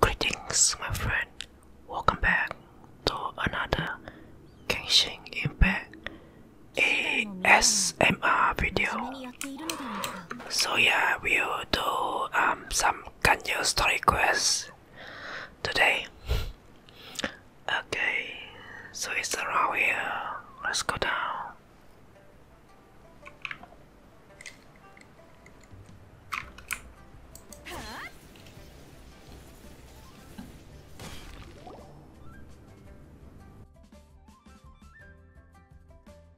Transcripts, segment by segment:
Greetings, my friend. Welcome back to another Kenshin Impact ASMR video. So yeah, we'll do um, some Kanyo story quests today. Okay, so it's around here. Let's go down.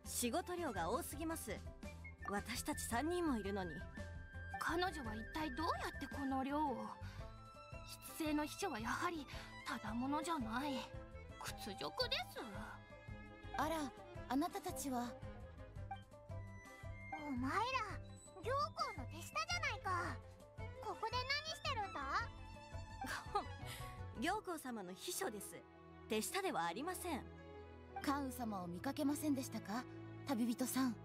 仕事量が多すぎます私たち3人もいるのに彼女は一体どうやってこの量を失勢の秘書はやはりただ者じゃない屈辱ですあらあなたたちはお前ら行校の手下じゃないかここで何してるんだ 行校様の秘書です手下ではありません関羽様を見かけませんでしたか旅人さん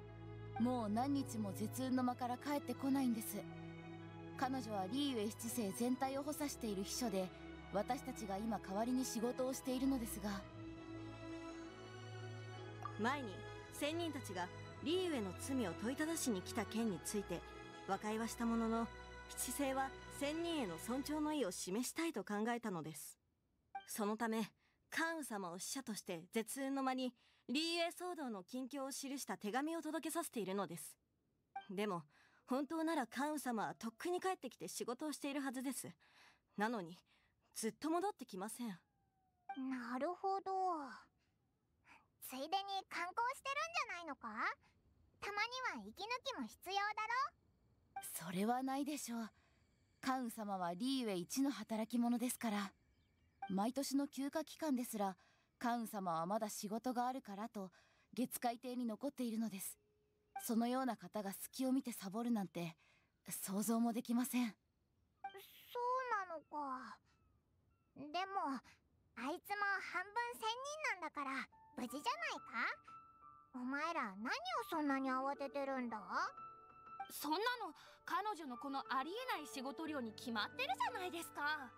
もう何日も絶運の間から帰ってこないんです彼女はリーウェイ七世全体を補佐している秘書で私たちが今代わりに仕事をしているのですが前に仙人たちがリーウェの罪を問いただしに来た件について和解はしたものの七星は仙人への尊重の意を示したいと考えたのですそのため関羽様を使者として絶運の間にリーウェ騒動の近況を記した手紙を届けさせているのですでも本当なら関羽様はとっくに帰ってきて仕事をしているはずですなのにずっと戻ってきませんなるほどついでに観光してるんじゃないのかたまには息抜きも必要だろそれはないでしょうカウン様はリーウェイ一の働き者ですから毎年の休暇期間ですらカウン様はまだ仕事があるからと月海艇に残っているのですそのような方が隙を見てサボるなんて想像もできませんそうなのかでもあいつも半分仙人なんだから無事じゃないかお前ら何をそんなに慌ててるんだそんなの彼女のこのありえない仕事量に決まってるじゃないですかは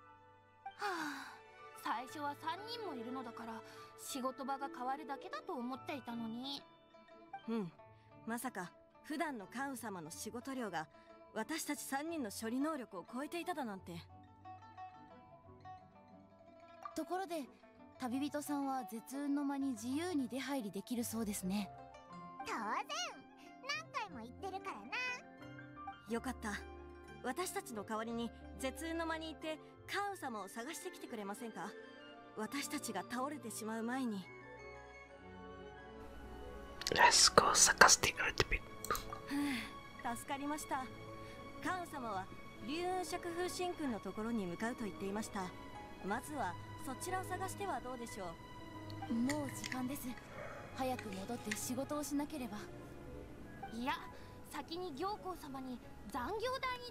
あ最初は3人もいるのだから仕事場が変わるだけだと思っていたのに。うんまさか普段のカウ様の仕事量が私たち3人の処理能力を超えていただなんてところで旅人さんは絶運の間に自由に出入りできるそうですね当然何回も言ってるからなよかった私たちの代わりに絶運の間に行ってカ様を探してきてくれませんか私たちが倒れてしまう前に Let's go 探してくれてみ助かりましたカウ様は竜雲釈風神君のところに向かうと言っていましたまずはそちらを探してはどうでしょうもう時間です早く戻って仕事をしなければいや先に行こう様に残業代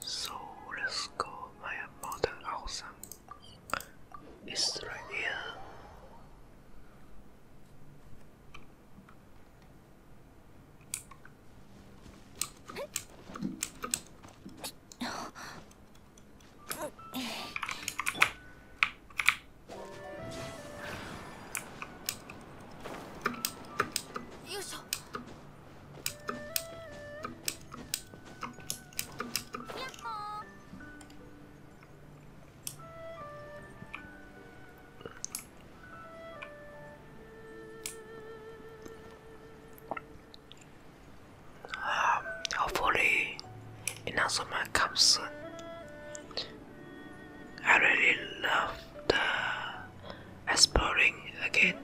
So let's go by a mountain awesome. It's right here. Um, hopefully, announcement comes soon. I really love the exploring again.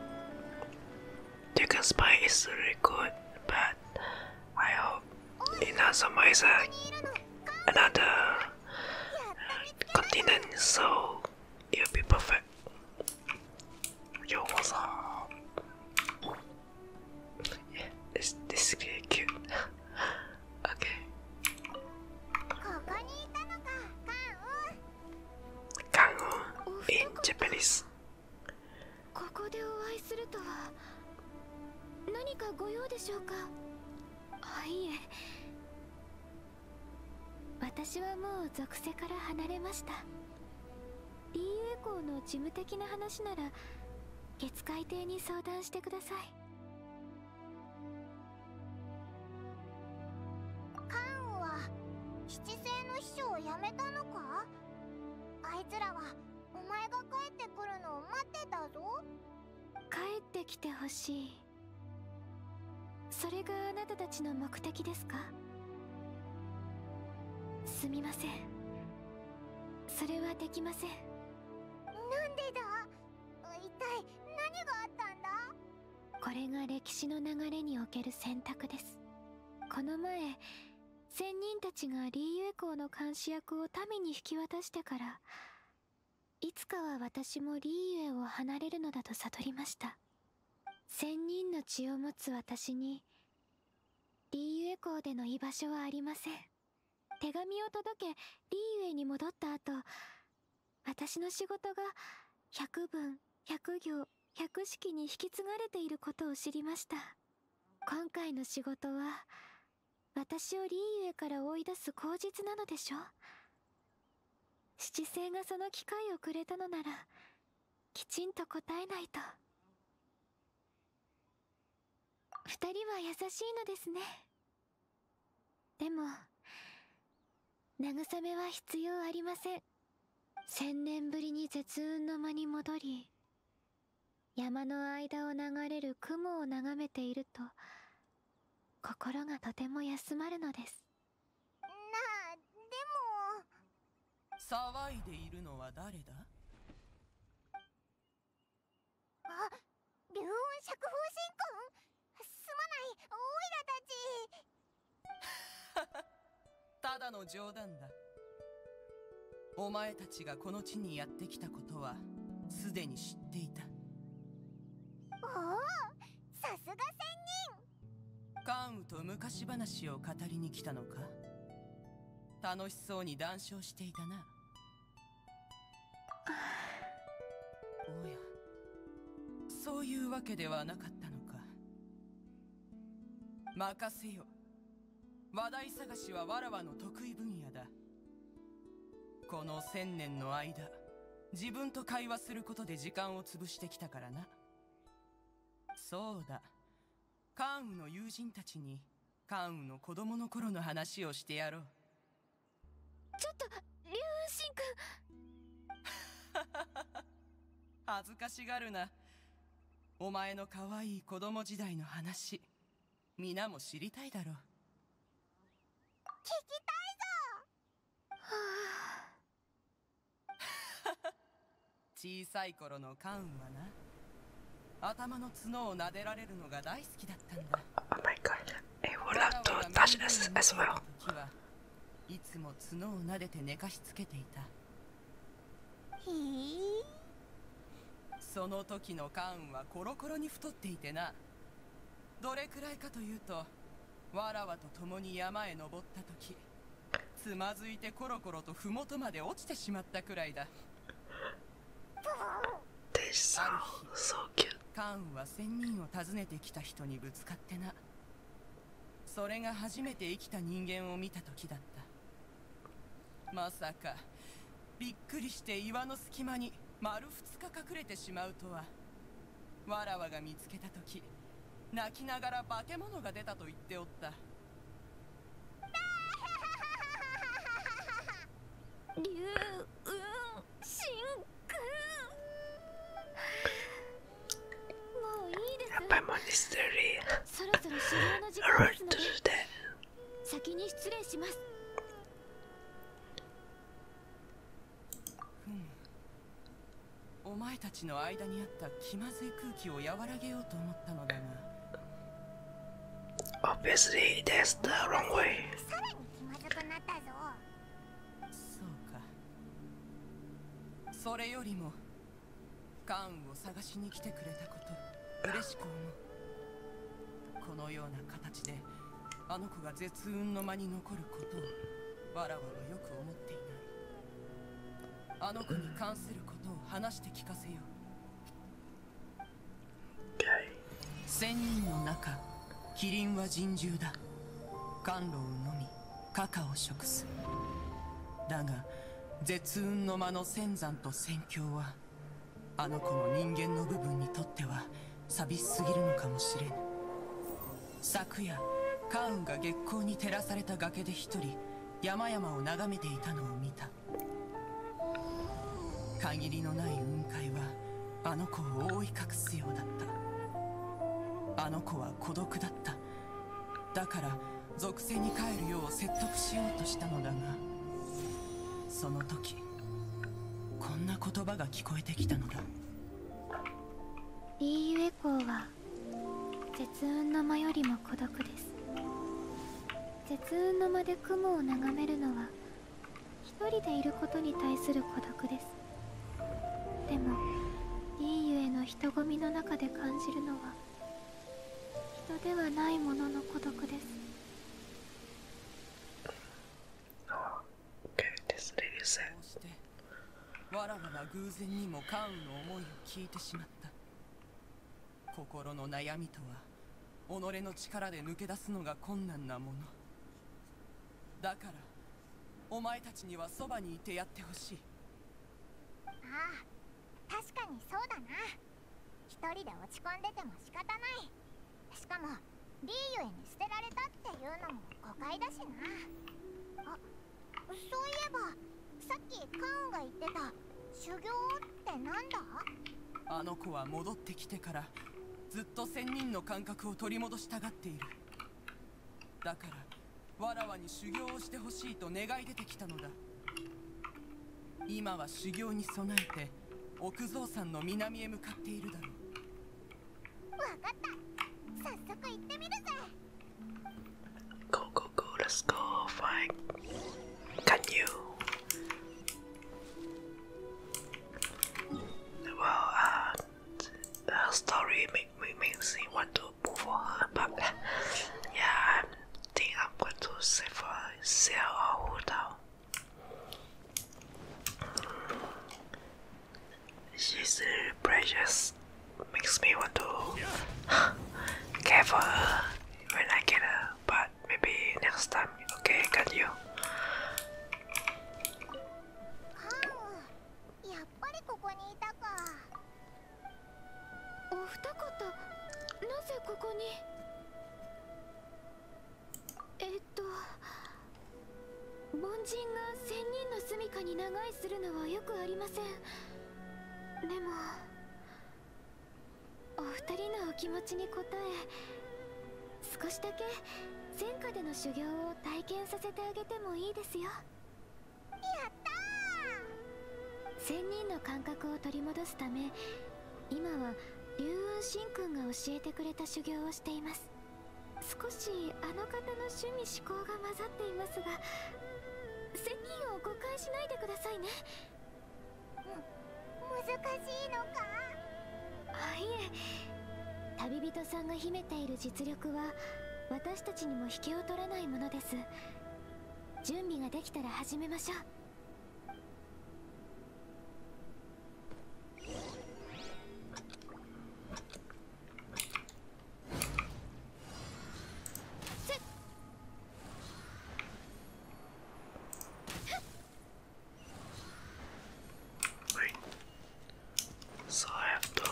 Chicken Spy is really good, but I hope Inazuma is a, another uh, continent, so it'll be perfect. Yo, what's up? Yeah, this, this is cute. okay. Kango in Japanese ここでお会いするとは何かご用でしょうかあいえ私はもう属性から離れました DU 校の事務的な話なら月海艇に相談してくださいカンは七星の秘書を辞めたのかあいつらはお前が帰ってくるのを待ってたぞ帰ってきてほしいそれがあなた達の目的ですかすみませんそれはできませんなんでだ一体何があったんだこれが歴史の流れにおける選択ですこの前仙人たちが李友公の監視役を民に引き渡してからいつかは私もー李友を離れるのだと悟りました仙人の血を持つ私に李友公での居場所はありません手紙を届けリーウェイに戻った後私の仕事が百文百行百式に引き継がれていることを知りました今回の仕事は私をリーユエから追い出す口実なのでしょ七星がその機会をくれたのならきちんと答えないと二人は優しいのですねでも慰めは必要ありません千年ぶりに絶雲の間に戻り山の間を流れる雲を眺めていると心がとても休まるのですなあでも騒いでいるのは誰だあ竜音釈放神君すまないオイラたちただの冗談だお前たちがこの地にやってきたことはすでに知っていたおおさすが仙人関羽と昔話を語りに来たのか楽しそうに談笑していたなおやそういうわけではなかったのか任せよ話題探しはわらわの得意分野だこの千年の間自分と会話することで時間を潰してきたからなそうだ関羽の友人たちに関羽の子供の頃の話をしてやろうちょっと龍雲神君 恥ずかしがるなお前の可愛い子供時代の話皆も知りたいだろう聞きたいぞ、はあ、小さい頃のカウンはな頭の角を撫でられるのが大好きだったんだ Oh my god, it would love to t o u c いつも角を撫でて寝かしつけていたその時のカンはコロコロに太っていてなどれくらいかというとわらわと共に山へ登った時つまずいてコロコロと麓まで落ちてしまったくらいだ This s カンは仙人を訪ねてきた人にぶつかってなそれが初めて生きた人間を見た時だったまさかびっくりして岩の隙間に丸2日隠れてしまうとはわらわが見つけた時泣きながら化け物が出たと言っておった龍雲神君やっぱりもうミステリーそろそろ修行の時間ですので先に失礼しますお前たちの間にあった気まずい空気を和らげようと思ったのだが Obviously that's the wrong way さらに気まずくなったぞそうかそれよりもカンを探しに来てくれたこと嬉しく思うこのような形であの子が絶運の間に残ることをわらわはよく思っていないあの子に関することを話して聞かせよう千人の中キリンは人獣だ甘露を飲みカカオを食すだが絶雲の間の仙山と戦況はあの子の人間の部分にとっては寂しすぎるのかもしれぬ昨夜カウンが月光に照らされた崖で一人山々を眺めていたのを見た限りのない雲海はあの子を覆い隠すようだったあの子は孤独だっただから属性に帰るよう説得しようとしたのだがその時こんな言葉が聞こえてきたのだいいゆえコは絶雲の間よりも孤独です絶雲の間で雲を眺めるのは一人でいることに対する孤独ですでもいい。ゆえの人混みの中で感じるのは人ではないものの孤独です。Oh, o k わらわら偶然にも関羽の思いを聞いてしまった心の悩みとは己の力で抜け出すのが困難なものだからお前たちにはそばにいてやってほしいああ確かにそうだな一人で落ち込んでても仕方ないしかもリーユエに捨てられたっていうのも誤解だしなあそういえばさっきカーンが言ってた修行って何だあの子は戻ってきてからずっと1000人の感覚を取り戻したがっているだからわらわに修行をしてほしいと願い出てきたのだ今は修行に備えて奥蔵さんの南へ向かっているだろうわかった早速行ってみるぜ Go go go let's go fight Can you Well uh the story make me makes me want to move on but yeah I'm to save 定要关注是否是要保护到。She's precious. Makes me want to care for her when I get her, but maybe next time. Okay, got you. Ah, お二方なぜここにえっと凡人が千人の住処に長居するのはよくありませんでもお二人のお気持ちに応え少しだけ戦火での修行を体験させてあげてもいいですよや仙人の感覚を取り戻すため今は龍雲神君が教えてくれた修行をしています少しあの方の趣味思考が混ざっていますが仙人を誤解しないでくださいねむ難しいのかあいえ旅人さんが秘めている実力は私たちにも引けを取らないものです準備ができたら始めましょう Wait. So I have to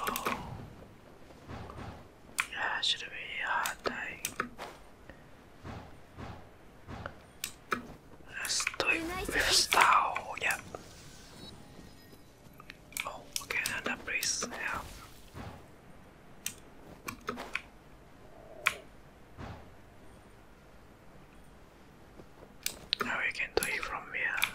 Yeah, should be a hard day. Let's do it with style, yeah. Oh, okay, another breeze, yeah. Now we can do it from here.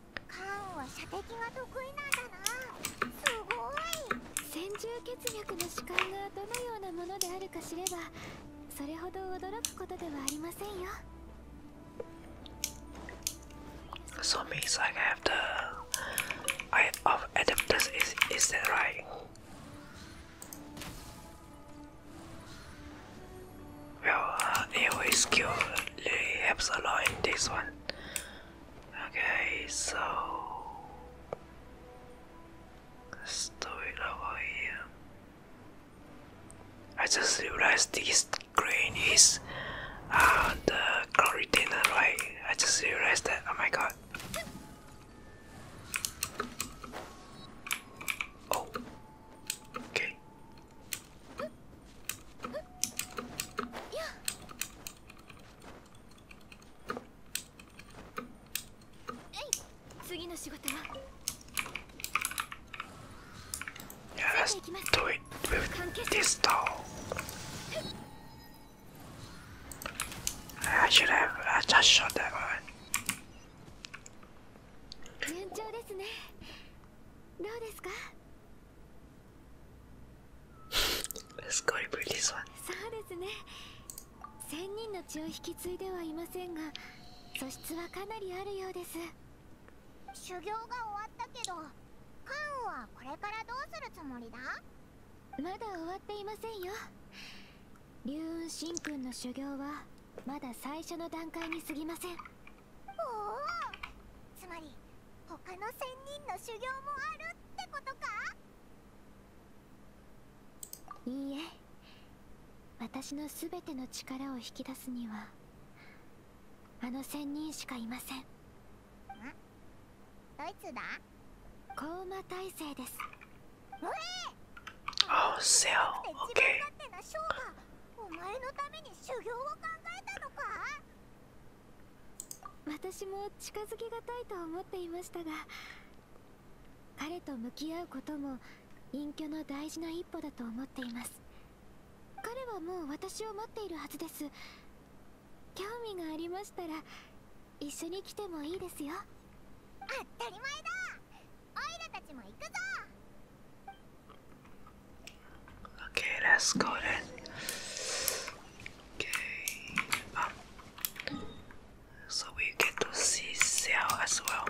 カーンは射的が得意なんだなすごい千住血脈の主観がどのようなものであるか知ればそれほど驚くことではありませんよ So m e a s i have the eye of Adeptus, s is that right? Well, it uh, was skill really helps a lot in this one. Okay, so let's do it over here. I just realized this green is uh, the cloud retainer, right? I just realized that. Oh my god. Oh, okay. Yeah, let's do it with this doll. I should have I just shot that one. 順調ですねどうですかスカイブリ o to t そうですね。千人の血を引き継いではいませんが、素質はかなりあるようです。修行が終わったけど、パンはこれからどうするつもりだまだ終わっていませんよ。龍雲神君の修行はまだ最初の段階に過ぎません。おおつまり他の仙人の修行もあるってことかいいえ私の全ての力を引き出すにはあの仙人しかいませんんドイツだコウマ大勢ですおえ Oh, so okay. お前のために修行を考えたのか私も近づきがたいと思っていましたが彼と向き合うことも隠居の大事な一歩だと思っています彼はもう私を待っているはずです興味がありましたら一緒に来てもいいですよ当たり前だオイラたちも行くぞ Okay, let's go then. Okay, um, So we get to see Xiao as well.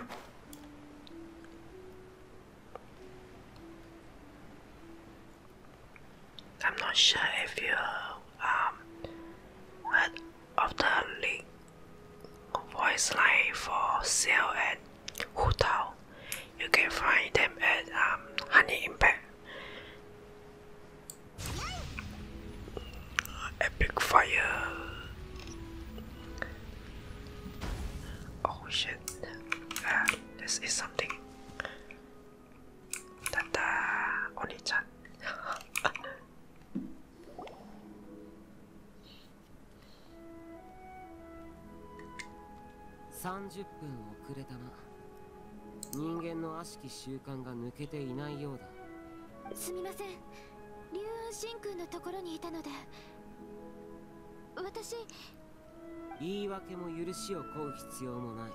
I'm not sure if you um heard of the link voice line for Xiao and Hu you can find them at um, Honey Impact. Epic Fire. Oh shit. Ah, this is something. Tata Oni-chan. 30分遅れたな人間の悪しき習慣が抜けていないようだすみません竜雲神君のところにいたので私言い訳も許しを請う必要もない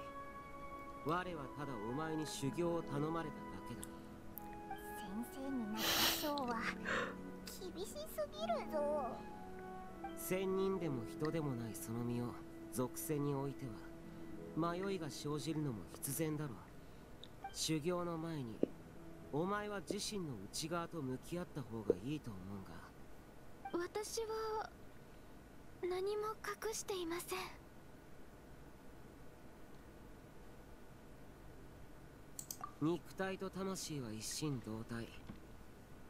我はただお前に修行を頼まれただけだ先生になった章は 厳しすぎるぞ仙人でも人でもないその身を属性においては迷いが生じるのも必然だろう修行の前にお前は自身の内側と向き合った方がいいと思うが私は何も隠していません肉体と魂は一心同体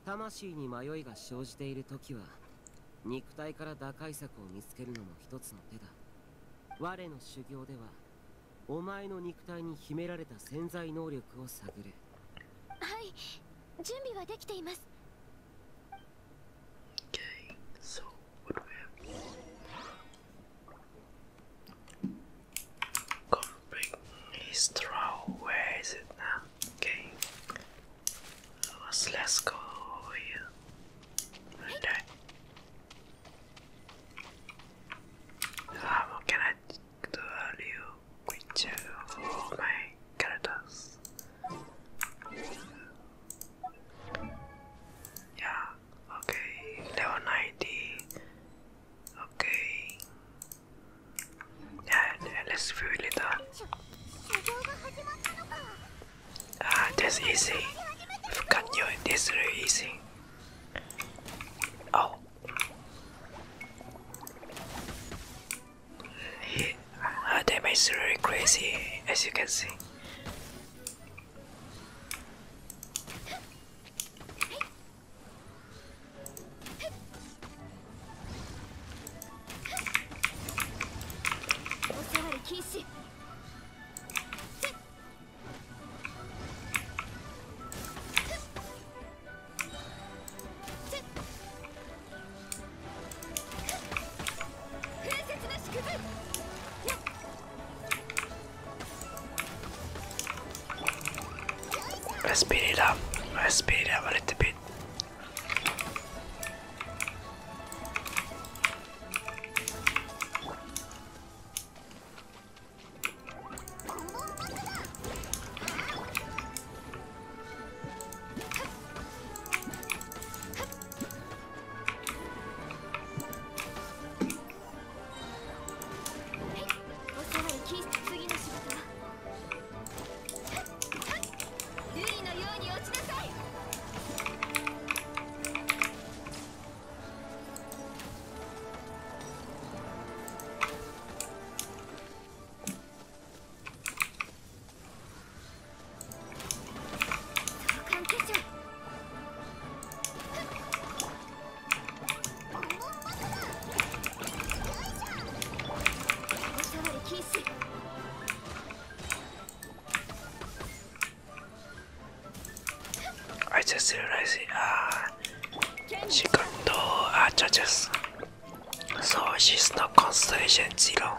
魂に迷いが生じている時は肉体から打開策を見つけるのも一つの手だ我の修行ではお前の肉体に秘められた潜在能力を探るはい準備はできています Okay. Let's, go over here. can I do a little creature for my characters? Yeah, okay, level 90. Okay, and, let's view it later. Uh. Ah, that's easy. I've got you, this really easy. Oh. He, her ah, damage is really crazy, as you can see. Let's speed it up. Let's speed it up a little bit. はいおさらいきつぎの仕事ははっはっ瑠璃のように落ちなさい創刊決勝はっボンボンバトラー I just realized ah, she got no uh, so she's not constellation zero.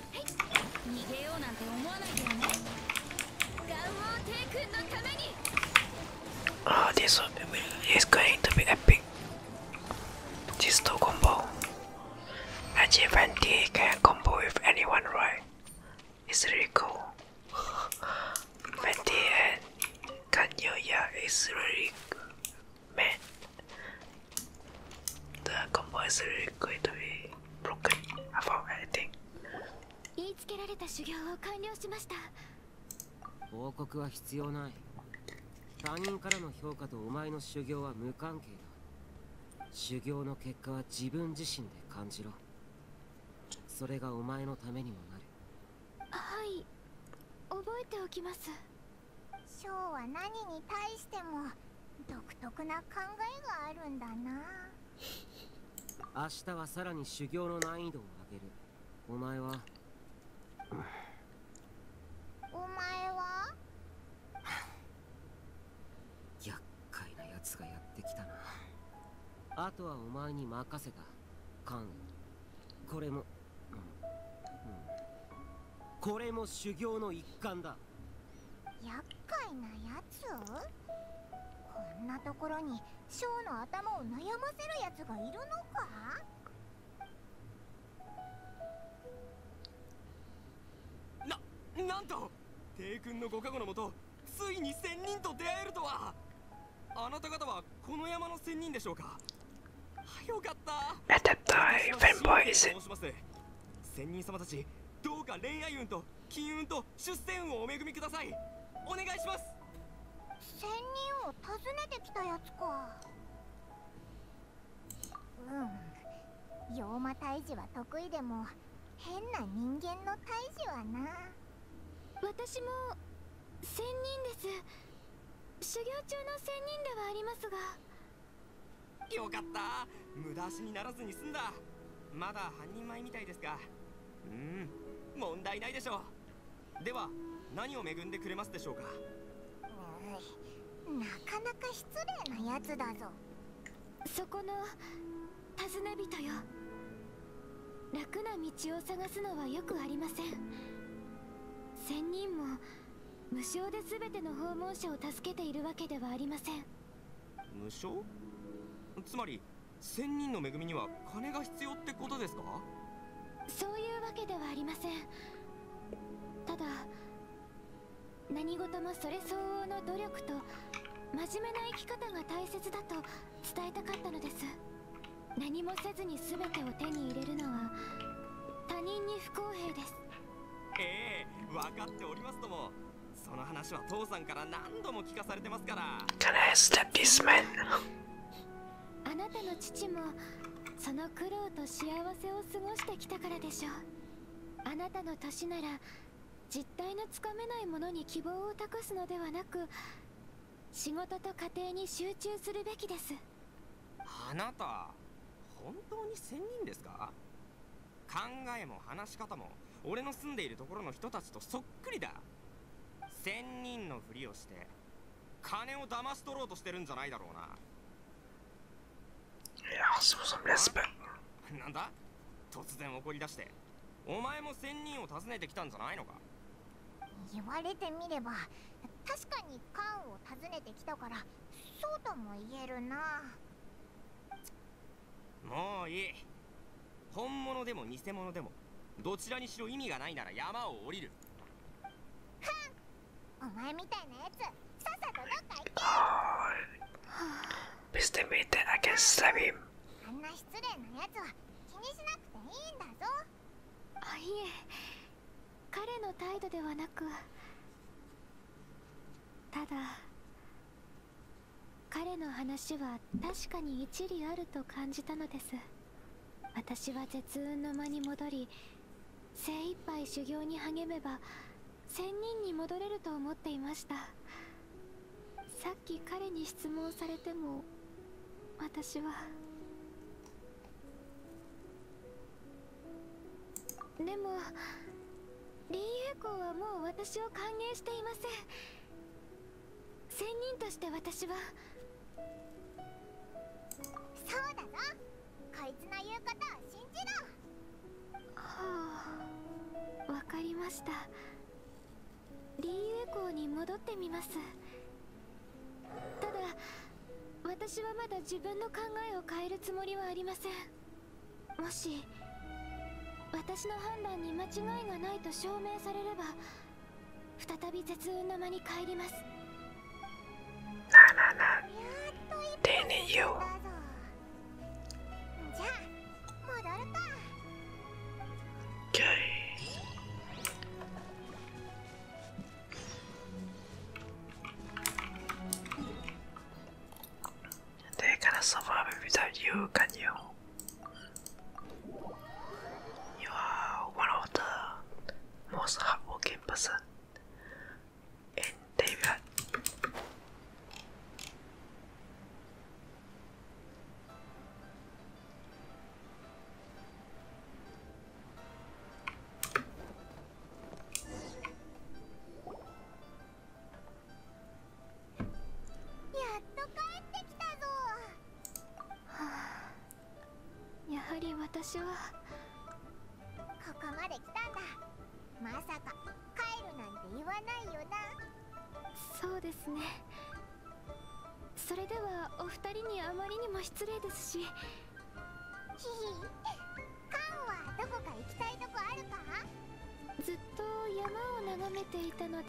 Oh, this is going to be epic. This two combo. Actually, can combo with anyone, right? It's really cool. Venti and Kanyoya is really man. The combo is really going to be b 言いつけられた修行を完了しました。報告は必要ない。他人からの評価とお前の修行は無関係だ。修行の結果は自分自身で感じろ。それがお前のためにもなる。はい覚えておきますショーは何に対しても独特な考えがあるんだな明日はさらに修行の難易度を上げるお前はお前は厄介な奴がやってきたなあとはお前に任せた関羽これも、うん、これも修行の一環だ厄介なやつこんなところにショーの頭を悩ませるやつがいるのかな、なんと帝君のご加護のもとついに仙人と出会えるとはあなた方はこの山の仙人でしょうかよかった Let them die, fanboys 仙人様たちどうか恋愛運と金運と出世をお恵みくださいお願いします仙人を訪ねてきたやつかうん妖魔退治は得意でも変な人間の退治はな私も仙人です修行中の仙人ではありますがよかった無駄足にならずに済んだまだ半人前みたいですがうん問題ないでしょうでは何を恵んでくれますでしょうかなかなか失礼なやつだぞそこの尋ね人よ楽な道を探すのはよくありません仙人も無償で全ての訪問者を助けているわけではありません無償つまり千人の恵みには金が必要ってことですかそういうわけではありませんただ何事もそれ相応の努力と真面目な生き方が大切だと伝えたかったのです何もせずに全てを手に入れるのは他人に不公平ですええ分かっておりますともその話は父さんから何度も聞かされてますから Can I slap t あなたの父もその苦労と幸せを過ごしてきたからでしょうあなたの年なら実態のつかめないものに希望を託すのではなく仕事と家庭に集中するべきですあなた本当に仙人ですか考えも話し方も俺の住んでいるところの人たとそっくりだ仙人のふりをして金を騙し取ろうとしてるんじゃないだろうななんだ突然怒り出してお前も仙人を訪ねてきたんじゃないのか言われてみれば確かにカンを訪ねてきたからそうとも言えるなもういい本物でも偽物でもどちらにしろ意味がないなら山を降りるお前みたいなやつさっさとどっか行け Viste mite a g a i n あんな失礼なやつは気にしなくていいんだぞあいえ彼の態度ではなくただ彼の話は確かに一理あると感じたのです私は絶雲の間に戻り精一杯修行に励めば仙人に戻れると思っていましたさっき彼に質問されても私はでも林英公はもう私を歓迎していません仙人として私はそうだろこいつの言うことを信じろはあわかりました林栄校に戻ってみますただ私はまだ自分の考えを変えるつもりはありませんもし私の判断に間違いがないと証明されれば再び絶運の間に帰ります Dang i They cannot survive without you, can you? You are one of the most hardworking person in David. やっと帰ってきたぞ、はあ、やはり私はここまで来たんだまさか帰るなんて言わないよなそうですねそれではお二人にあまりにも失礼ですしひひカンはどこか行きたいとこあるかずっと山を眺めていたので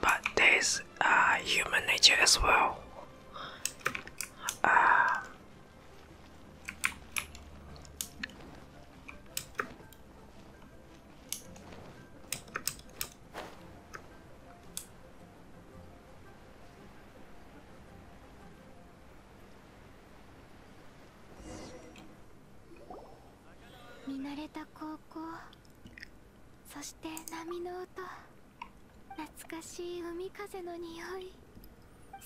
But there is uh, human nature as well. 見慣れた高校そして波の音懐かしい海風の匂い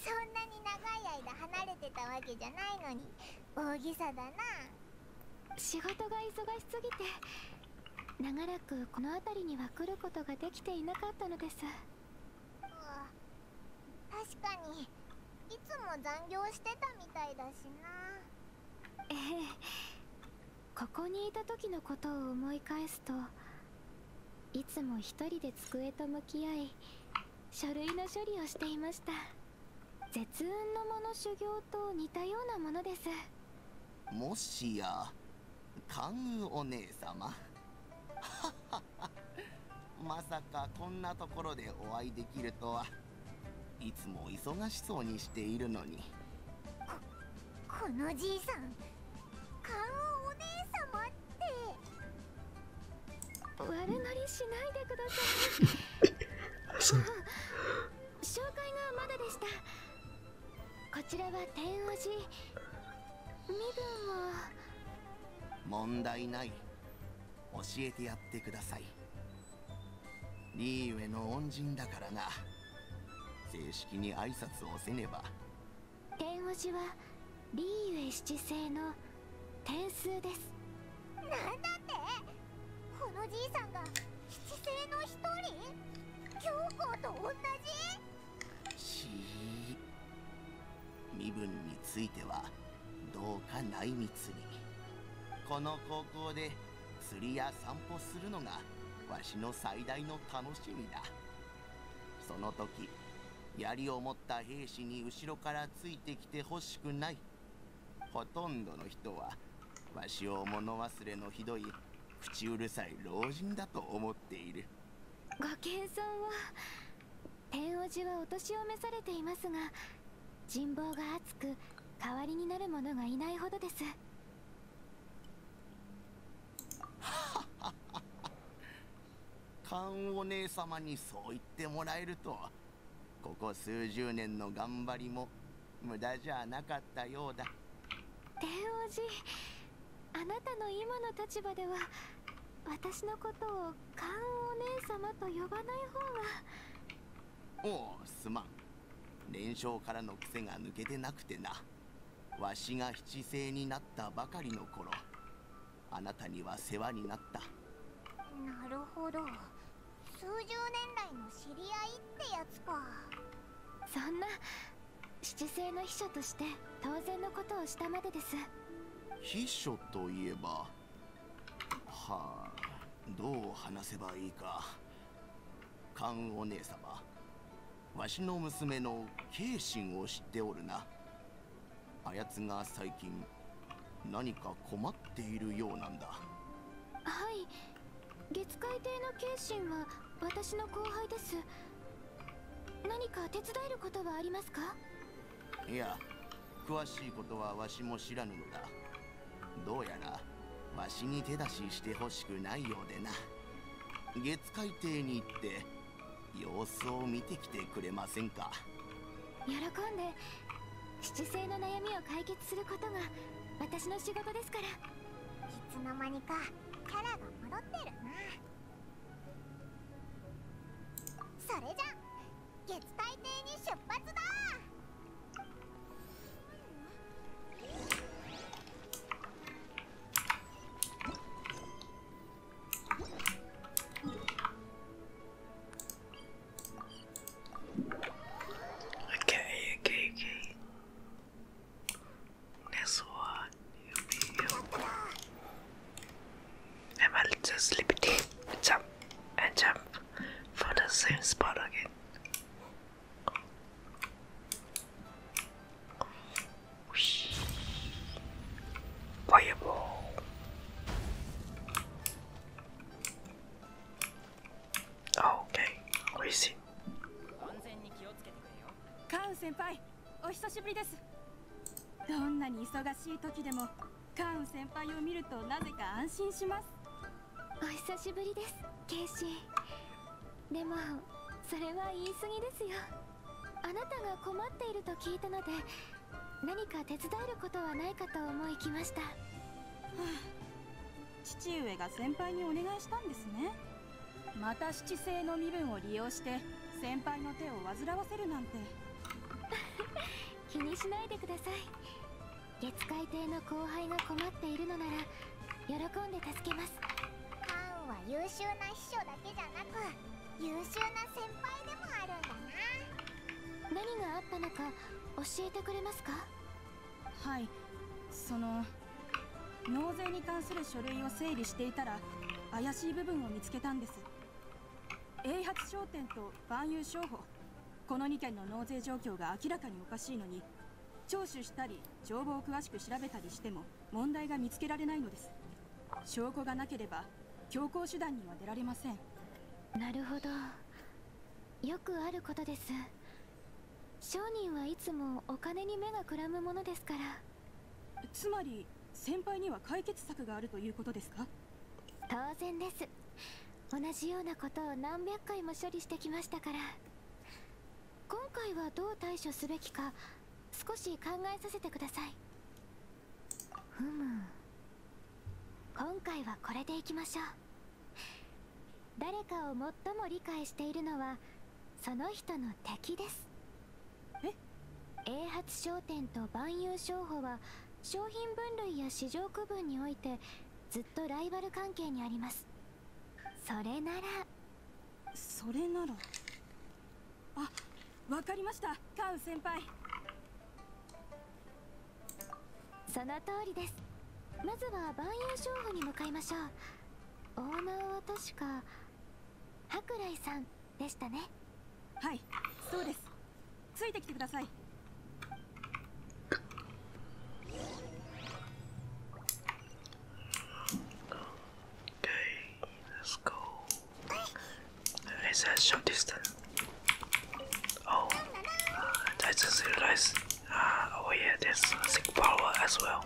そんなに長い間離れてたわけじゃないのに大げさだな仕事が忙しすぎて長らくこの辺りには来ることができていなかったのです確かにいつも残業してたみたいだしなええここにいた時のことを思い返すといつも一人で机と向き合い書類の処理をしていました絶雲の者修行と似たようなものですもしや関羽お姉様 まさかこんなところでお会いできるとはいつも忙しそうにしているのにこのじいさんカンお姉様って悪乗りしないでください紹介がまだでしたこちらは天王し。身分も。問題ない教えてやってくださいリーウェの恩人だからな正式に挨拶をせねば弁護士はリーウェ七星の点数ですなんだってこのじいさんが七星の一人教皇と同じ身分についてはどうか内密にこの高校で釣りや散歩するのがわしの最大の楽しみだその時槍を持った兵士に後ろからついてきてほしくないほとんどの人はわしを物忘れのひどい口うるさい老人だと思っているご謙遜を天王寺はお年を召されていますが人望が厚く代わりになるものがいないほどです 勘お姉まにそう言ってもらえるとここ数十年の頑張りも無駄じゃなかったようだ天王寺あなたの今の立場では私のことを勘お姉まと呼ばない方がおおすまん連勝からの癖が抜けてなくてなわしが七星になったばかりの頃あなたには世話になったなるほど数十年来の知り合いってやつかそんな七星の秘書として当然のことをしたまでです秘書といえばはあどう話せばいいか勘お姉様わしの娘の慶心を知っておるなあやつが最近何か困っているようなんだはい月海艇の慶心は私の後輩です何か手伝えることはありますかいや詳しいことはわしも知らぬのだどうやらわしに手出ししてほしくないようでな月海底に行って様子を見てきてくれませんか喜んで七星の悩みを解決することが私の仕事ですからいつの間にかキャラが戻ってるなそれじゃ月海底に出発だ Okay, okay, okay. Next one, you'll be here. And I just liberty jump and jump for the same spot again. フイアボール全に気をつけてくれよカウ先輩、お久しぶりですどんなに忙しい時でもカウ先輩を見るとなぜか安心しますお久しぶりですケイシーでもそれは言い過ぎですよあなたが困っていると聞いたので何か手伝えることはないかと思いきました、父上が先輩にお願いしたんですねまた七星の身分を利用して先輩の手を煩わせるなんて 気にしないでください月海艇の後輩が困っているのなら喜んで助けますカーンは優秀な秘書だけじゃなく優秀な先輩でもあるんだな何があったのか教えてくれますかはいその納税に関する書類を整理していたら怪しい部分を見つけたんです英発商店と万有商法この2件の納税状況が明らかにおかしいのに聴取したり帳簿を詳しく調べたりしても問題が見つけられないのです証拠がなければ強行手段には出られませんなるほどよくあることです商人はいつもお金に目がくらむものですからつまり先輩には解決策があるということですか当然です同じようなことを何百回も処理してきましたから今回はどう対処すべきか少し考えさせてくださいふむ今回はこれでいきましょう誰かを最も理解しているのはその人の敵ですえ英発商店と万有商法は商品分類や市場区分においてずっとライバル関係にありますそれならそれならあわかりましたカウ先輩その通りですまずは万有商法に向かいましょうオーナーは確か博来さんでしたねはいそうですついてきてください Okay, let's go. Is that short distance? Oh, uh, I just realized. Uh, oh yeah, there's sick power as well.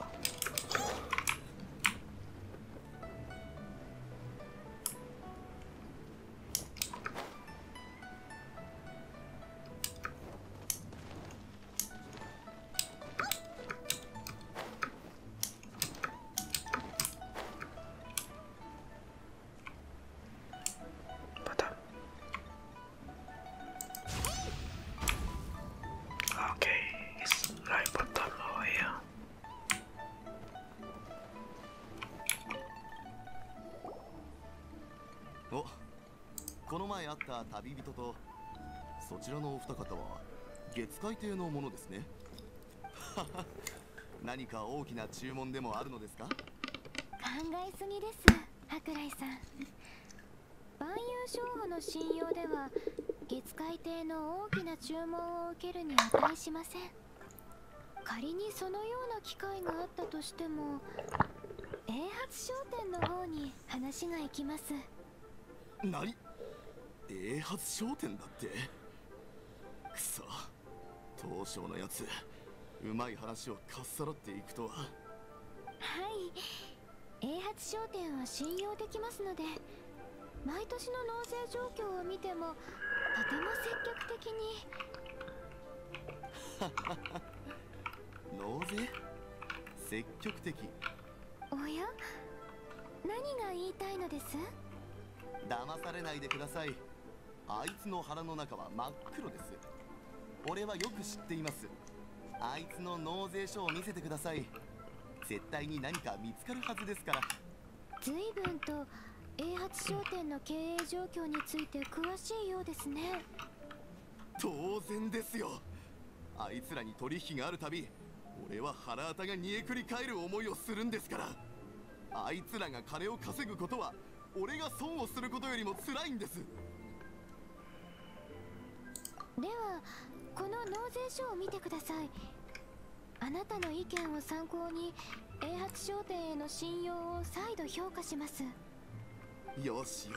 But, okay, it's like bottom over Oh, この前会った旅人とそちらのお二方は月会艇のものですね 何か大きな注文でもあるのですか考えすぎです博来さん万有商法の信用では月会艇の大きな注文を受けるに値しません仮にそのような機会があったとしても英発商店の方に話が行きます何英発商店だってくそ東証のやつうまい話をかっさらっていくとははい英発商店は信用できますので毎年の納税状況を見てもとても積極的に 納税積極的おや何が言いたいのです騙されないでくださいあいつの腹の中は真っ黒です俺はよく知っていますあいつの納税書を見せてください絶対に何か見つかるはずですから随分と A8 商店の経営状況について詳しいようですね当然ですよあいつらに取引があるたび俺は腹あたが煮えくり返る思いをするんですからあいつらが金を稼ぐことは俺が損をすることよりも辛いんですではこの納税書を見てくださいあなたの意見を参考に A 発商店への信用を再度評価しますよしよ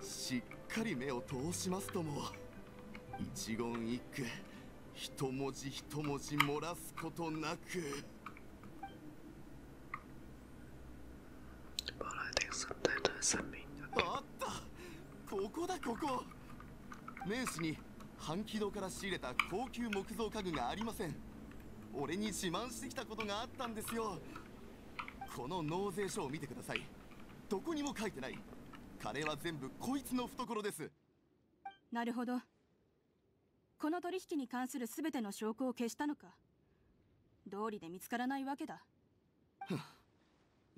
ししっかり目を通しますとも一言一句一文字一文字漏らすことなくあったここだここ名刺に半軌道から仕入れた高級木造家具がありません俺に自慢してきたことがあったんですよこの納税書を見てくださいどこにも書いてない金は全部こいつの懐ですなるほどこの取引に関する全ての証拠を消したのか道理で見つからないわけだ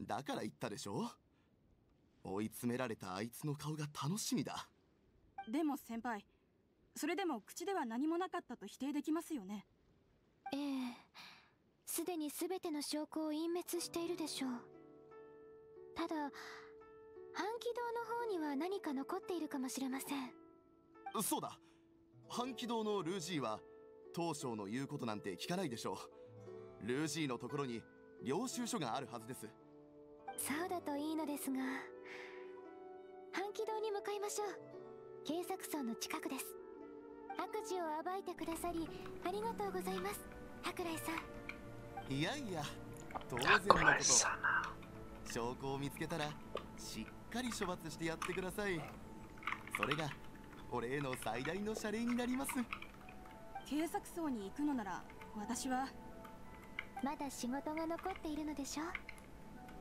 だから言ったでしょ追い詰められたあいつの顔が楽しみだでも先輩それでも口では何もなかったと否定できますよねええすでに全ての証拠を隠滅しているでしょうただ半軌道の方には何か残っているかもしれませんそうだ半軌道のルージーは当初の言うことなんて聞かないでしょうルージーのところに領収書があるはずですそうだといいのですが半軌道に向かいましょう警察荘の近くです悪事を暴いてくださりありがとうございます桜井さんいやいや当然のこと証拠を見つけたらしっかり処罰してやってくださいそれが俺への最大の謝礼になります警察層に行くのなら私はまだ仕事が残っているのでしょう。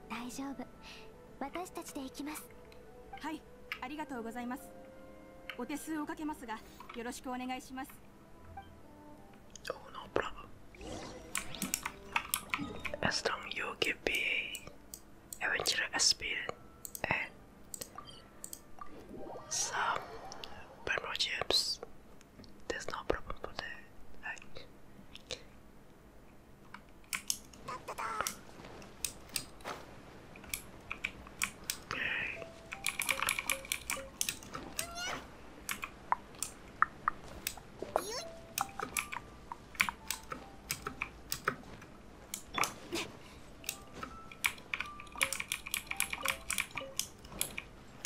大丈夫私たちで行きますはいはいありがとうございますお手数をかけますがよろしくお願いします Oh no problem As long you give me adventure experience and some Primary gems there's no problem for that like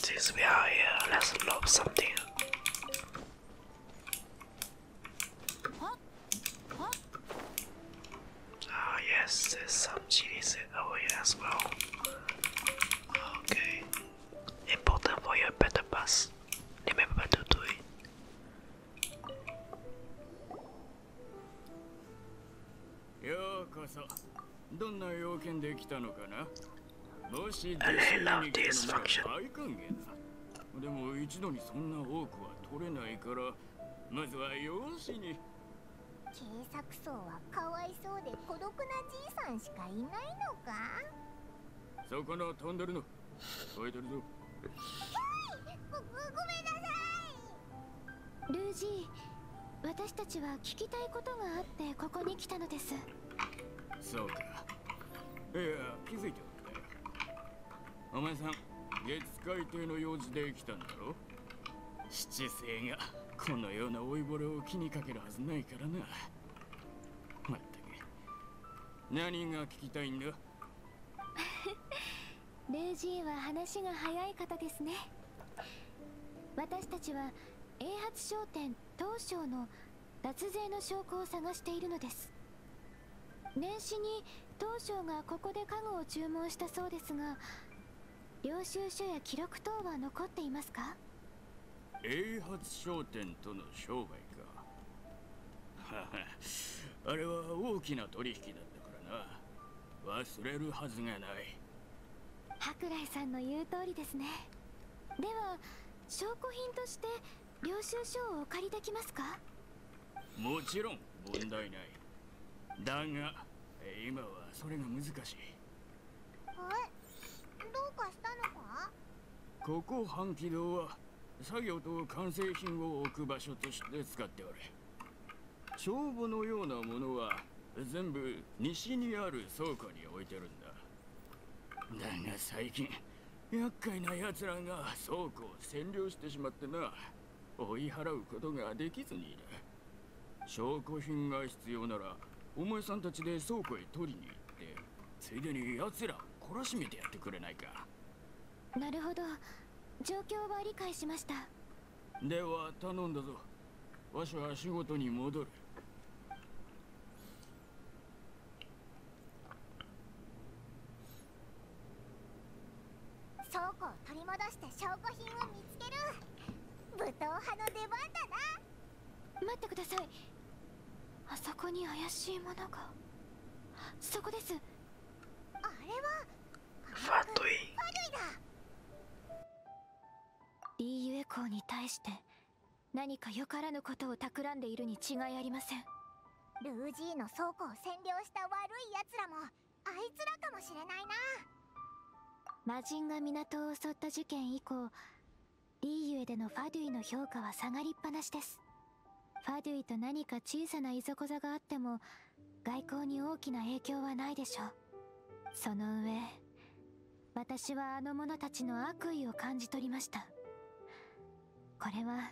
Since we are here, let's lock something. Ah, yes, there's some chilies over here as well. Okay. Important for your better pass. Remember to do it. And I love this function. でも一度にそんな多くは取れないからまずは容姿に警作層はかわいそうで孤独なじいさんしかいないのかそこのトンでルの吠えてるぞごめんなさいルージー私たちは聞きたいことがあってここに来たのですそうかいや気づいておくんよお前さん月海底の用事で来たんだろ七星がこのような老いぼれを気にかけるはずないからなまったく何が聞きたいんだルー ジーは話が早い方ですね私たちは英発商店東証の脱税の証拠を探しているのです年始に当初がここで家具を注文したそうですが領収書や記録等は残っていますか英発商店との商売か あれは大きな取引だったからな忘れるはずがない博来さんの言う通りですねでは証拠品として領収書をお借りできますかもちろん問題ないだが今はそれが難しいえどうかしたのかここ半気道は作業と完成品を置く場所として使っておる帳簿のようなものは全部西にある倉庫に置いてるんだだが最近厄介な奴らが倉庫を占領してしまってな追い払うことができずにいる証拠品が必要ならお前さんたちで倉庫へ取りに行ってついでに奴ら懲らしめてやってくれないかなるほど状況は理解しましたでは頼んだぞわしは仕事に戻る倉庫を取り戻して証拠品を見つける武闘派の出番だな待ってくださいあそこに怪しいものがそこですあれはファトゥイだリユエコーに対して何かよからぬことを企んでいるに違いありませんルージーの倉庫を占領した悪い奴らもあいつらかもしれないな魔人が港を襲った事件以降リーユエでのファデュイの評価は下がりっぱなしですファデュイと何か小さないざこざがあっても外交に大きな影響はないでしょうその上私はあの者たちの悪意を感じ取りましたこれは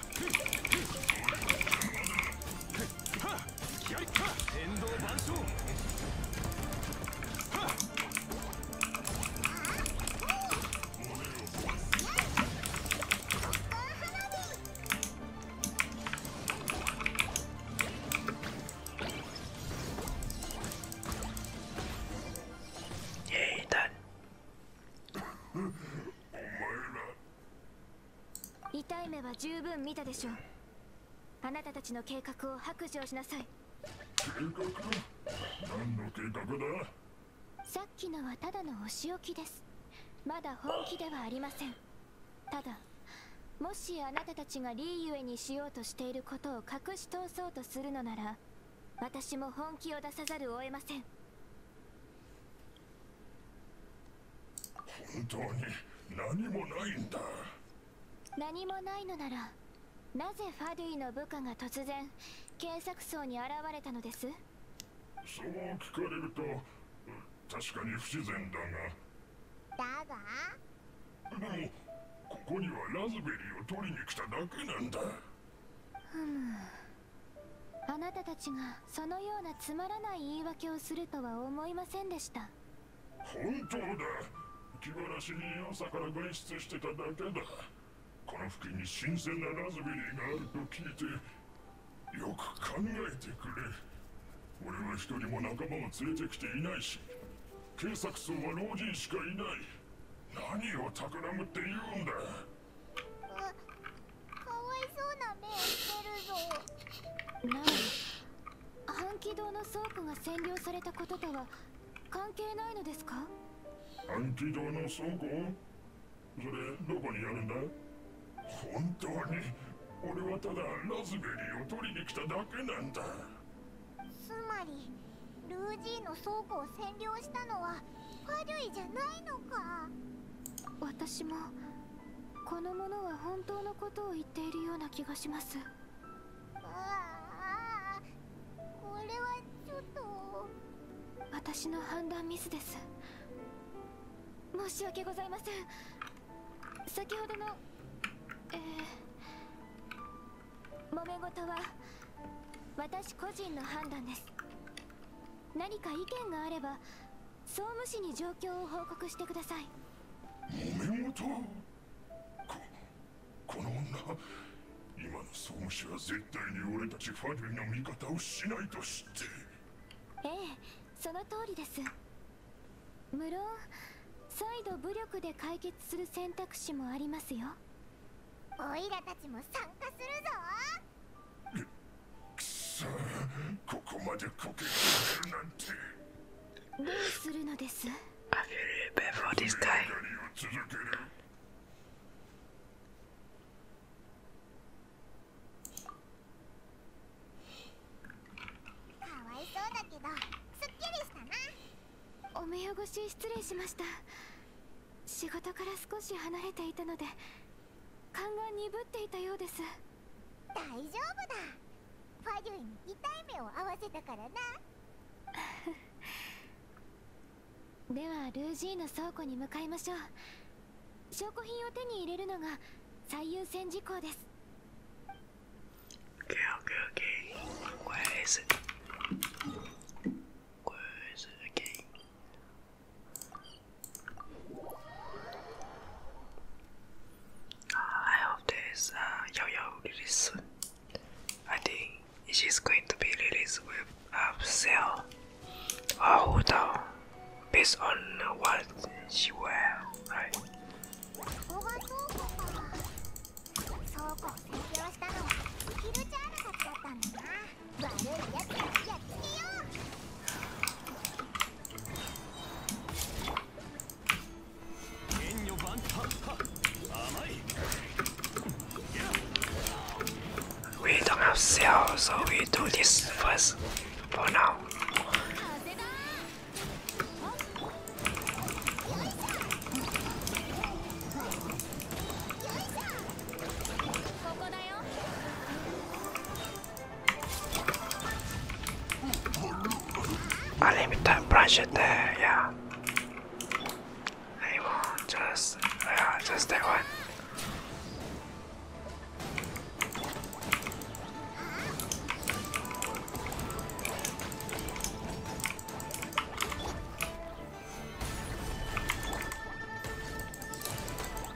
Yay, done. 痛い目は十分見たでしょうあなたたちの計画を白状しなさい計画何の計画ださっきのはただのお仕置きですまだ本気ではありませんただもしあなたたちがリーゆえにしようとしていることを隠し通そうとするのなら私も本気を出さざるを得ません本当に何もないんだ何もないのならなぜファディの部下が突然検索層に現れたのですそう聞かれると確かに不自然だがだがでもここにはラズベリーを取りに来ただけなんだふむあなたたちがそのようなつまらない言い訳をするとは思いませんでした本当だ気晴らしに朝から外出してただけだこの付近に新鮮なラズベリーがあると聞いてよく考えてくれ俺は一人も仲間を連れてきていないし警察層は老人しかいない何を企むって言うんだかわいそうな目をしてるぞ何あ半気道の倉庫が占領されたこととは関係ないのですか半気道の倉庫それどこにあるんだ本当に俺はただラズベリーを取りに来ただけなんだつまりルージーの倉庫を占領したのは悪いじゃないのか私もこの者は本当のことを言っているような気がしますああこれはちょっと私の判断ミスです申し訳ございません先ほどのえー、揉め事は私個人の判断です何か意見があれば総務士に状況を報告してください揉め事ここの女今の総務士は絶対に俺たちファディュの味方をしないと知ってええその通りです無論再度武力で解決する選択肢もありますよオイラたちも参加するぞくそここまでこけるなんてどうするのです I feel r e a かわいそうだけどすっきりしたなお目汚し失礼しました仕事から少し離れていたので勘が鈍っていたようです大丈夫だファリュイに痛い目を合わせたからな ではルージーの倉庫に向かいましょう証拠品を手に入れるのが最優先事項です I hope this uh, Yo Yo release soon. I think she's going to be released with a sale or a hotel based on what she wear, We don't have cell, so we do this first for now. I limit that branch it there, yeah. Anymore, just yeah, just that one.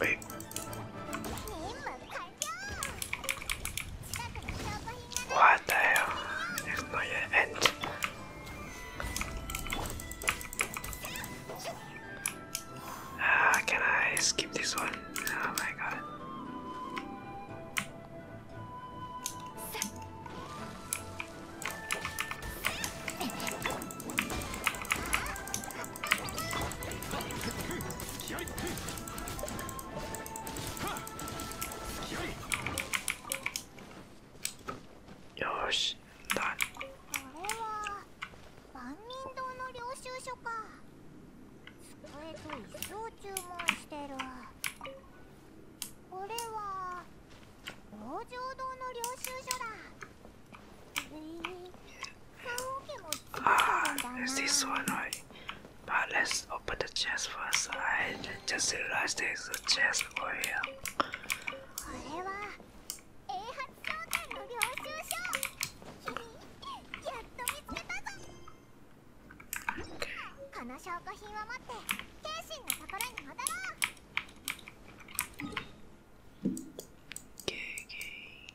Wait. What the hell? It's not yet end. Ah, can I skip this one? Oh my god. よしだこれは万人堂の領収書か机と椅子を注文してるこれは往生堂の領収書だ Ah, this one, right? But let's open the chest first. I just realized there's a chest over here.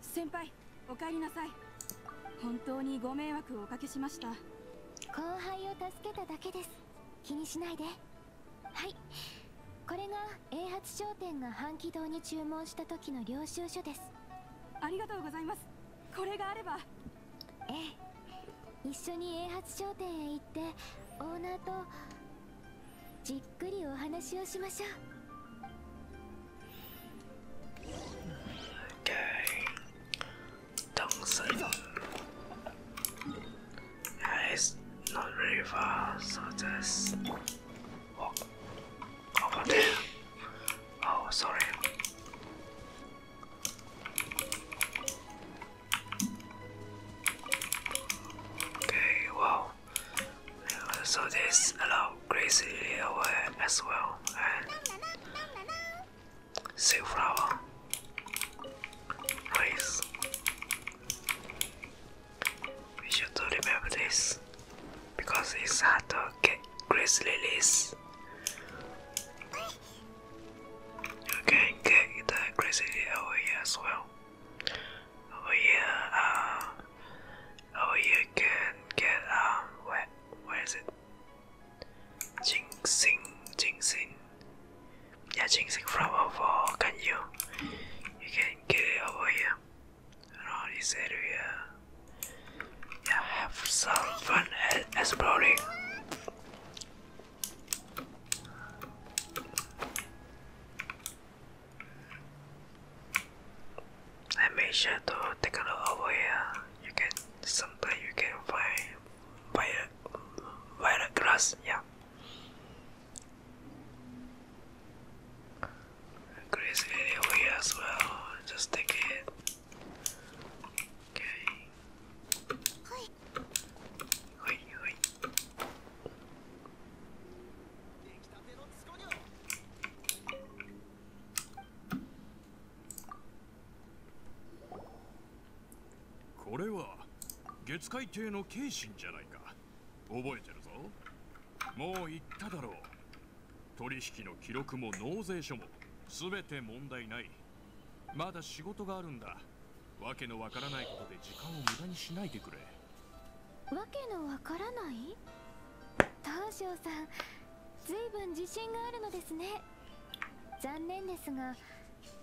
先輩お帰りなさい本当にご迷惑をおかけしました後輩を助けただけです気にしないではいこれが英発商店が半軌堂に注文した時の領収書ですありがとうございますこれがあればええ一緒に英発商店へ行ってオーナーとじっくりお話をしましょう Okay. Dongsen yeah, it's not really far, so just walk over there. Oh, sorry. Okay, wow. So this allows grizzly away as well and safflower. Nice. We should remember this because it's hard to get grizzly lilies. You can get the electricity over here as well. Over here, uh, over here you can get um, where, where is it? Jinxing, Jinxing. Yeah, Jinxing from over. Can you? You can get it over here. Around this area. Yeah, have some fun exploring. I made sure to take a look over here. You can sometimes you can find violet violet grass, yeah. Grass area as well. Just take it. Okay. はいはいこれは月海艇の慶信じゃないか覚えてるぞもう言っただろう取引の記録も納税書も全て問題ないまだ仕事があるんだわけのわからないことで時間を無駄にしないでくれわけのわからない東証さんずいぶん自信があるのですね残念ですが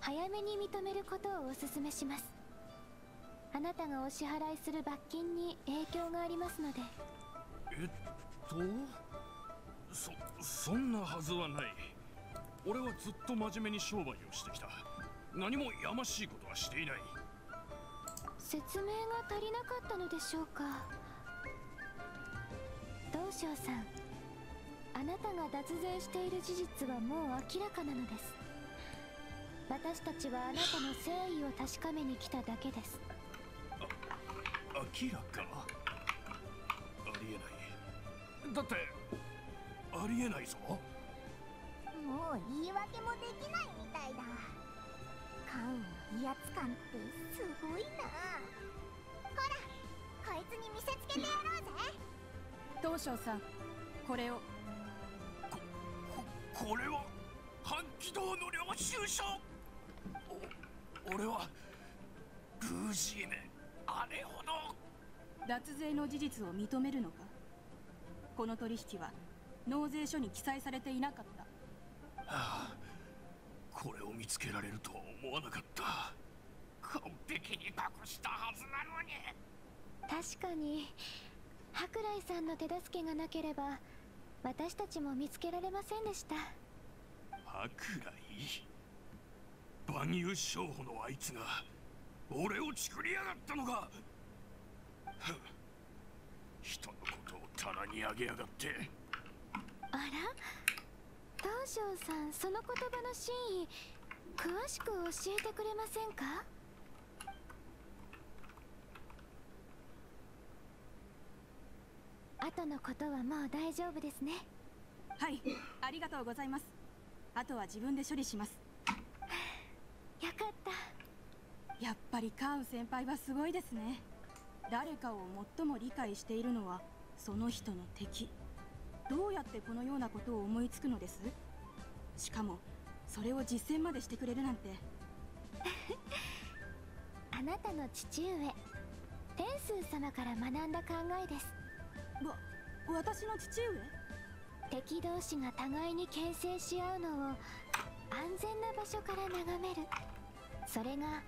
早めに認めることをお勧めしますあなたがお支払いする罰金に影響がありますのでえっとそそんなはずはない俺はずっと真面目に商売をしてきた何もやましいことはしていない説明が足りなかったのでしょうか道昌さんあなたが脱税している事実はもう明らかなのです私たちはあなたの誠意を確かめに来ただけですあ明らかありえないだってありえないぞもう言い訳もできないみたいだ関羽の威圧感ってすごいなほらこいつに見せつけてやろうぜ東証さんこれをここれは半軌道の領収書お俺はルーシーヌあれほど脱税の事実を認めるのかこの取引は納税書に記載されていなかった、これを見つけられるとは思わなかった完璧に隠したはずなのに確かに博来さんの手助けがなければ私たちも見つけられませんでした博来万有商法のあいつが俺を作りやがったのか人のことを棚に上げやがってあら東條さんその言葉の真意詳しく教えてくれませんかあとのことはもう大丈夫ですねはいありがとうございますあとは自分で処理しますよかったやっぱりカウン先輩はすごいですね誰かを最も理解しているのはその人の敵どうやってこのようなことを思いつくのですしかもそれを実践までしてくれるなんて あなたの父上天数様から学んだ考えですわ私の父上敵同士が互いに牽制し合うのを安全な場所から眺めるそれが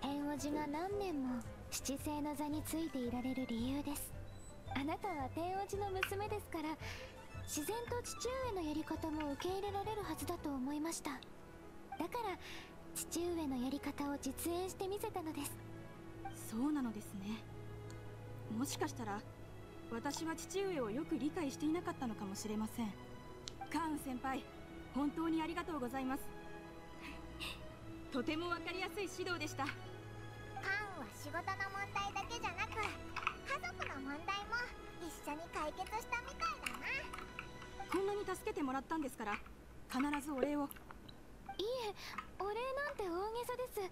天王寺が何年も七星の座についていられる理由ですあなたは天王寺の娘ですから自然と父上のやり方も受け入れられるはずだと思いましただから父上のやり方を実演してみせたのですそうなのですねもしかしたら私は父上をよく理解していなかったのかもしれませんカーン先輩本当にありがとうございます とても分かりやすい指導でしたカーンは仕事の問題だけじゃなく家族の問題も一緒に解決したみたいだなこんなに助けてもらったんですから必ずお礼をいえお礼なんて大げさです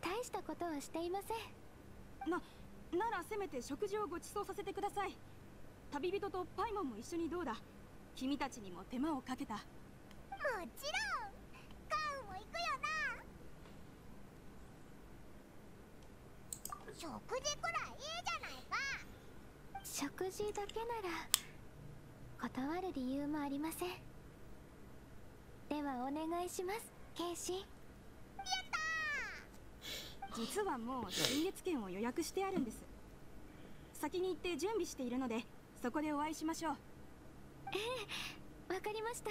大したことはしていませんなならせめて食事をご馳走させてください旅人とパイモンも一緒にどうだ君たちにも手間をかけたもちろんカウンも行くよな食事くらいいいじゃないか食事だけなら断る理由もありませんではお願いしますケイシやった実はもう新月券を予約してあるんです先に行って準備しているのでそこでお会いしましょうええわかりました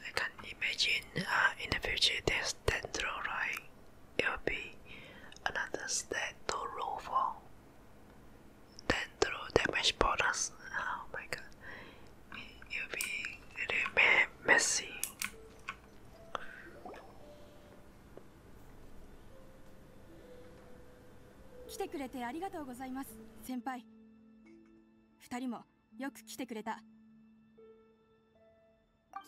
I can imagine uh, in the future this dendrite will be another stat to roll for. Dendro damage bonus. Oh my god, it will be really messy. 来てくれてありがとうございます先輩2人もよく来てくれた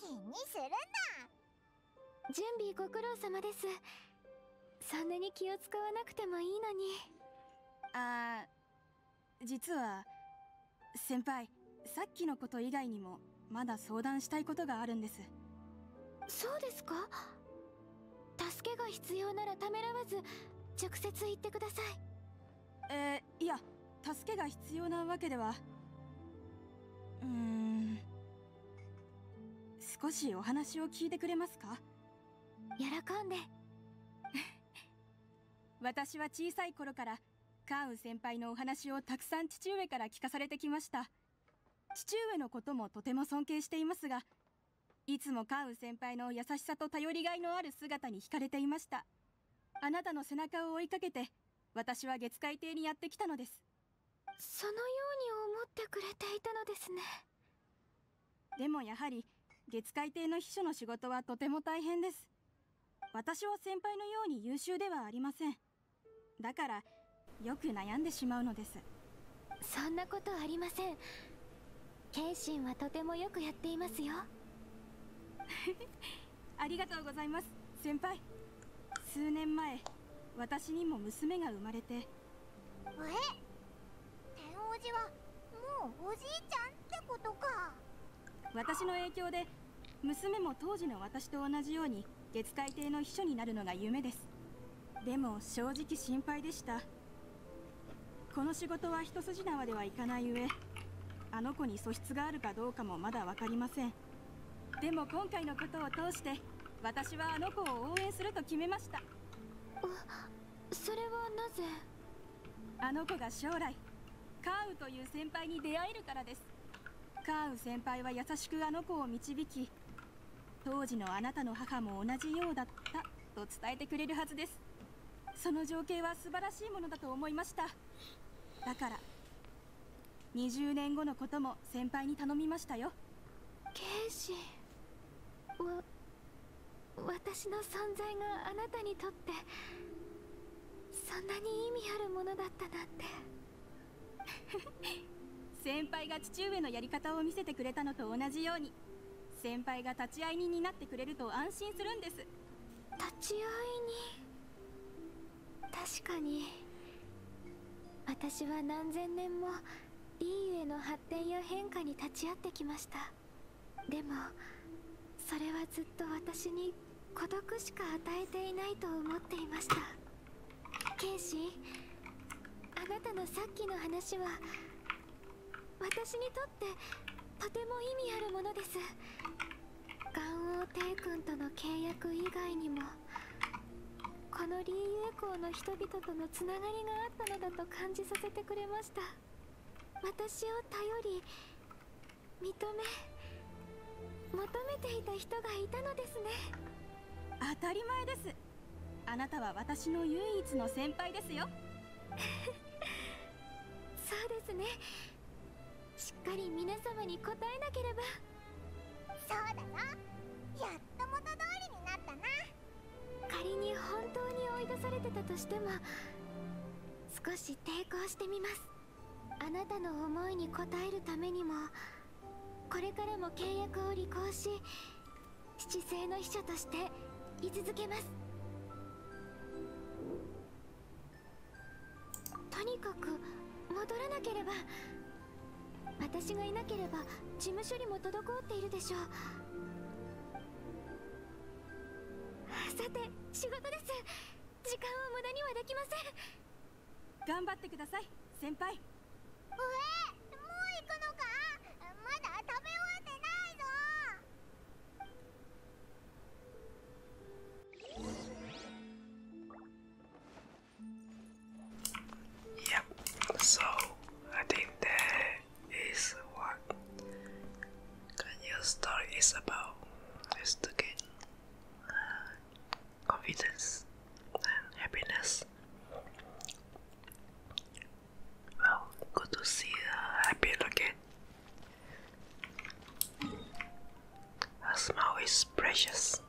気にするんだ準備ご苦労様ですそんなに気を使わなくてもいいのにああ実は先輩さっきのこと以外にもまだ相談したいことがあるんですそうですか助けが必要ならためらわず直接言ってくださいえいや助けが必要なわけではうん少しお話を聞いてくれますか喜んで 私は小さい頃からカーウ先輩のお話をたくさん父上から聞かされてきました父上のこともとても尊敬していますがいつもカーウ先輩の優しさと頼りがいのある姿に惹かれていましたあなたの背中を追いかけて私は月海邸にやってきたのですそのように思ってくれていたのですねでもやはり月海艇の秘書の仕事はとても大変です私は先輩のように優秀ではありませんだからよく悩んでしまうのですそんなことありません謙信はとてもよくやっていますよ ありがとうございます先輩数年前私にも娘が生まれてえ天王寺はもうおじいちゃんってことか私の影響で娘も当時の私と同じように月海艇の秘書になるのが夢ですでも正直心配でしたこの仕事は一筋縄ではいかない上あの子に素質があるかどうかもまだ分かりませんでも今回のことを通して私はあの子を応援すると決めましたそれはなぜあの子が将来カウという先輩に出会えるからですカーウ先輩は優しくあの子を導き当時のあなたの母も同じようだったと伝えてくれるはずですその情景は素晴らしいものだと思いましただから20年後のことも先輩に頼みましたよケイわ私の存在があなたにとってそんなに意味あるものだったなんて先輩が父上のやり方を見せてくれたのと同じように先輩が立ち会い人になってくれると安心するんです立ち会い人確かに私は何千年もリーウェの発展や変化に立ち会ってきましたでもそれはずっと私に孤独しか与えていないと思っていました剣士あなたのさっきの話は私にとってとても意味あるものです元王帝君との契約以外にもこのリーユエの人々とのつながりがあったのだと感じさせてくれました私を頼り認め求めていた人がいたのですね当たり前ですあなたは私の唯一の先輩ですよ そうですねしっかり皆様に答えなければそうだなやっと元通りになったな仮に本当に追い出されてたとしても少し抵抗してみますあなたの思いに応えるためにもこれからも契約を履行し七星の秘書として居続けますとにかく戻らなければ私がいなければ事務処理も滞っているでしょうさて仕事です時間を無駄にはできません頑張ってください先輩うえもう行くのかまだ食べ終わってないぞや、yeah. so I think that is what Kanya's story is about. It's the game. confidence and happiness. Well, good to see a uh, happy look A smile is precious.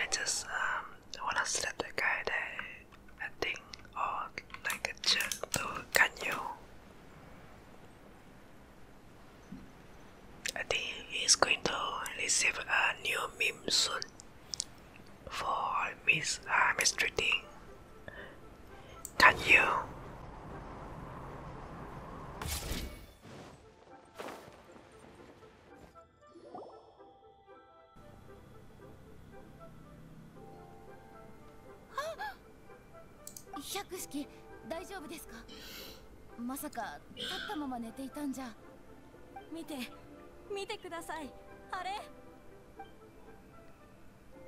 I just um wanna slap the guy that I think or oh, like a jerk to you. I think he's going to receive a new meme soon for Miss uh, Can you? 百式大丈夫ですかまさか立ったまま寝ていたんじゃ見て見てくださいあれ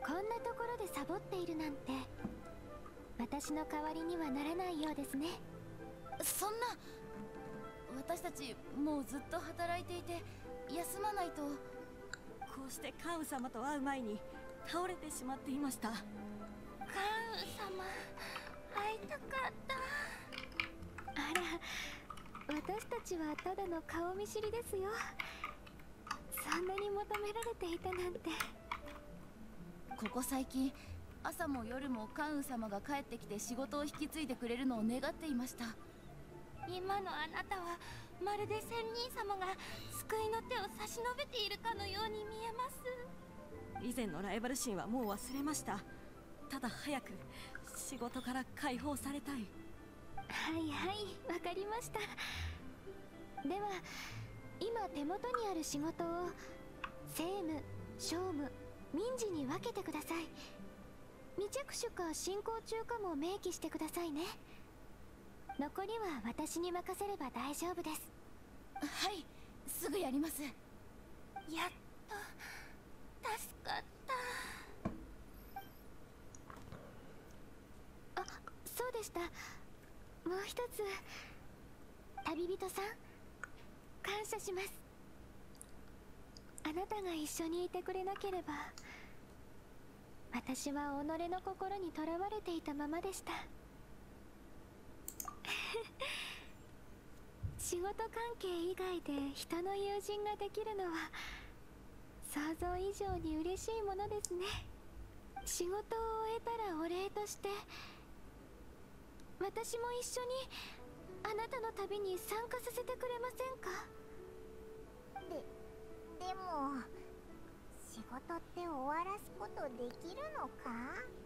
こんなところでサボっているなんて私の代わりにはならないようですねそんな私たちもうずっと働いていて休まないとこうしてカウン様と会う前に倒れてしまっていました様会いたかったあら私たちはただの顔見知りですよそんなに求められていたなんてここ最近朝も夜もカン羽様が帰ってきて仕事を引き継いでくれるのを願っていました今のあなたはまるで仙人様が救いの手を差し伸べているかのように見えます以前のライバル心はもう忘れましたただ早く仕事から解放されたいはいはいわかりましたでは今手元にある仕事を政務商務民事に分けてください未着手か進行中かも明記してくださいね残りは私に任せれば大丈夫ですはいすぐやりますやっと助かったあそうでしたもう一つ旅人さん感謝しますあなたが一緒にいてくれなければ私は己の心にとらわれていたままでした仕事関係以外で人の友人ができるのは想像以上に嬉しいものですね仕事を終えたらお礼として私も一緒にあなたの旅に参加させてくれませんかででも仕事って終わらすことできるのか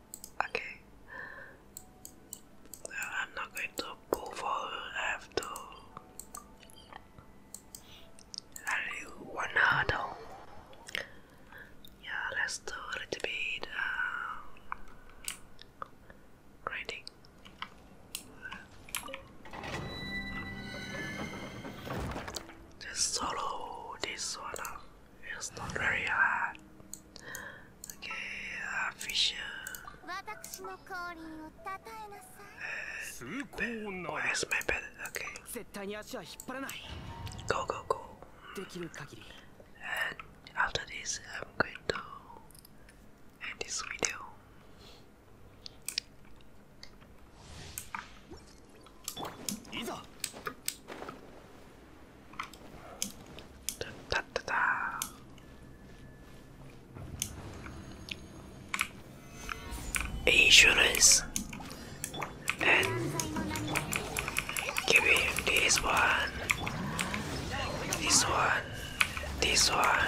Okay. I'm not going to pull forward. I have to rally one hurdle. Yeah, let's do a little bit um, uh, grinding. Just solo this one. It's not very hard. Okay, uh, fish. Uh, where's my bed? Okay. Go, go, go. And after this, I'm going to end this video. Insurance and give this one, this one, this one,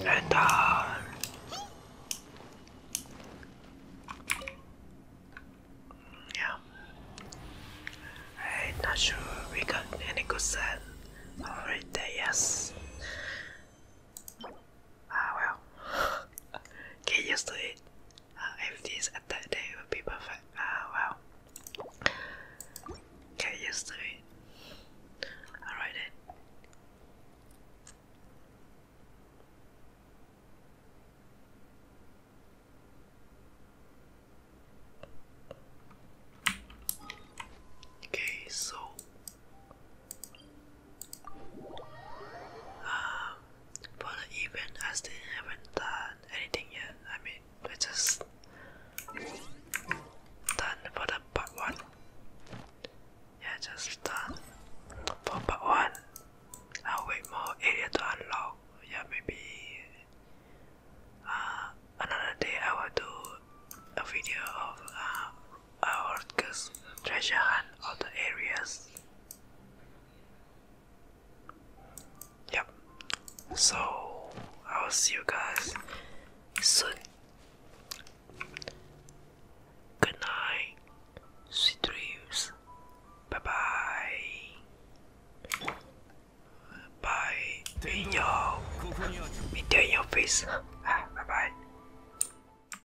And uh, yeah, I'm not sure we got any good set. Alright, yes. Ah well. Get used to it. Ah, if this attack day would be perfect. Ah well. Get used to it. Alright then. Okay, so for um, the event, I still haven't done anything yet. I mean, I just done for the part one. Yeah, just done for part one. I'll wait more area to unlock. Yeah, maybe uh, another day I will do a video of uh, Orcus, treasure hunt, other areas. Yep. So I'll see you guys soon. Good night. Sweet dreams. Bye bye. Bye. In your, in your face. ah, bye bye.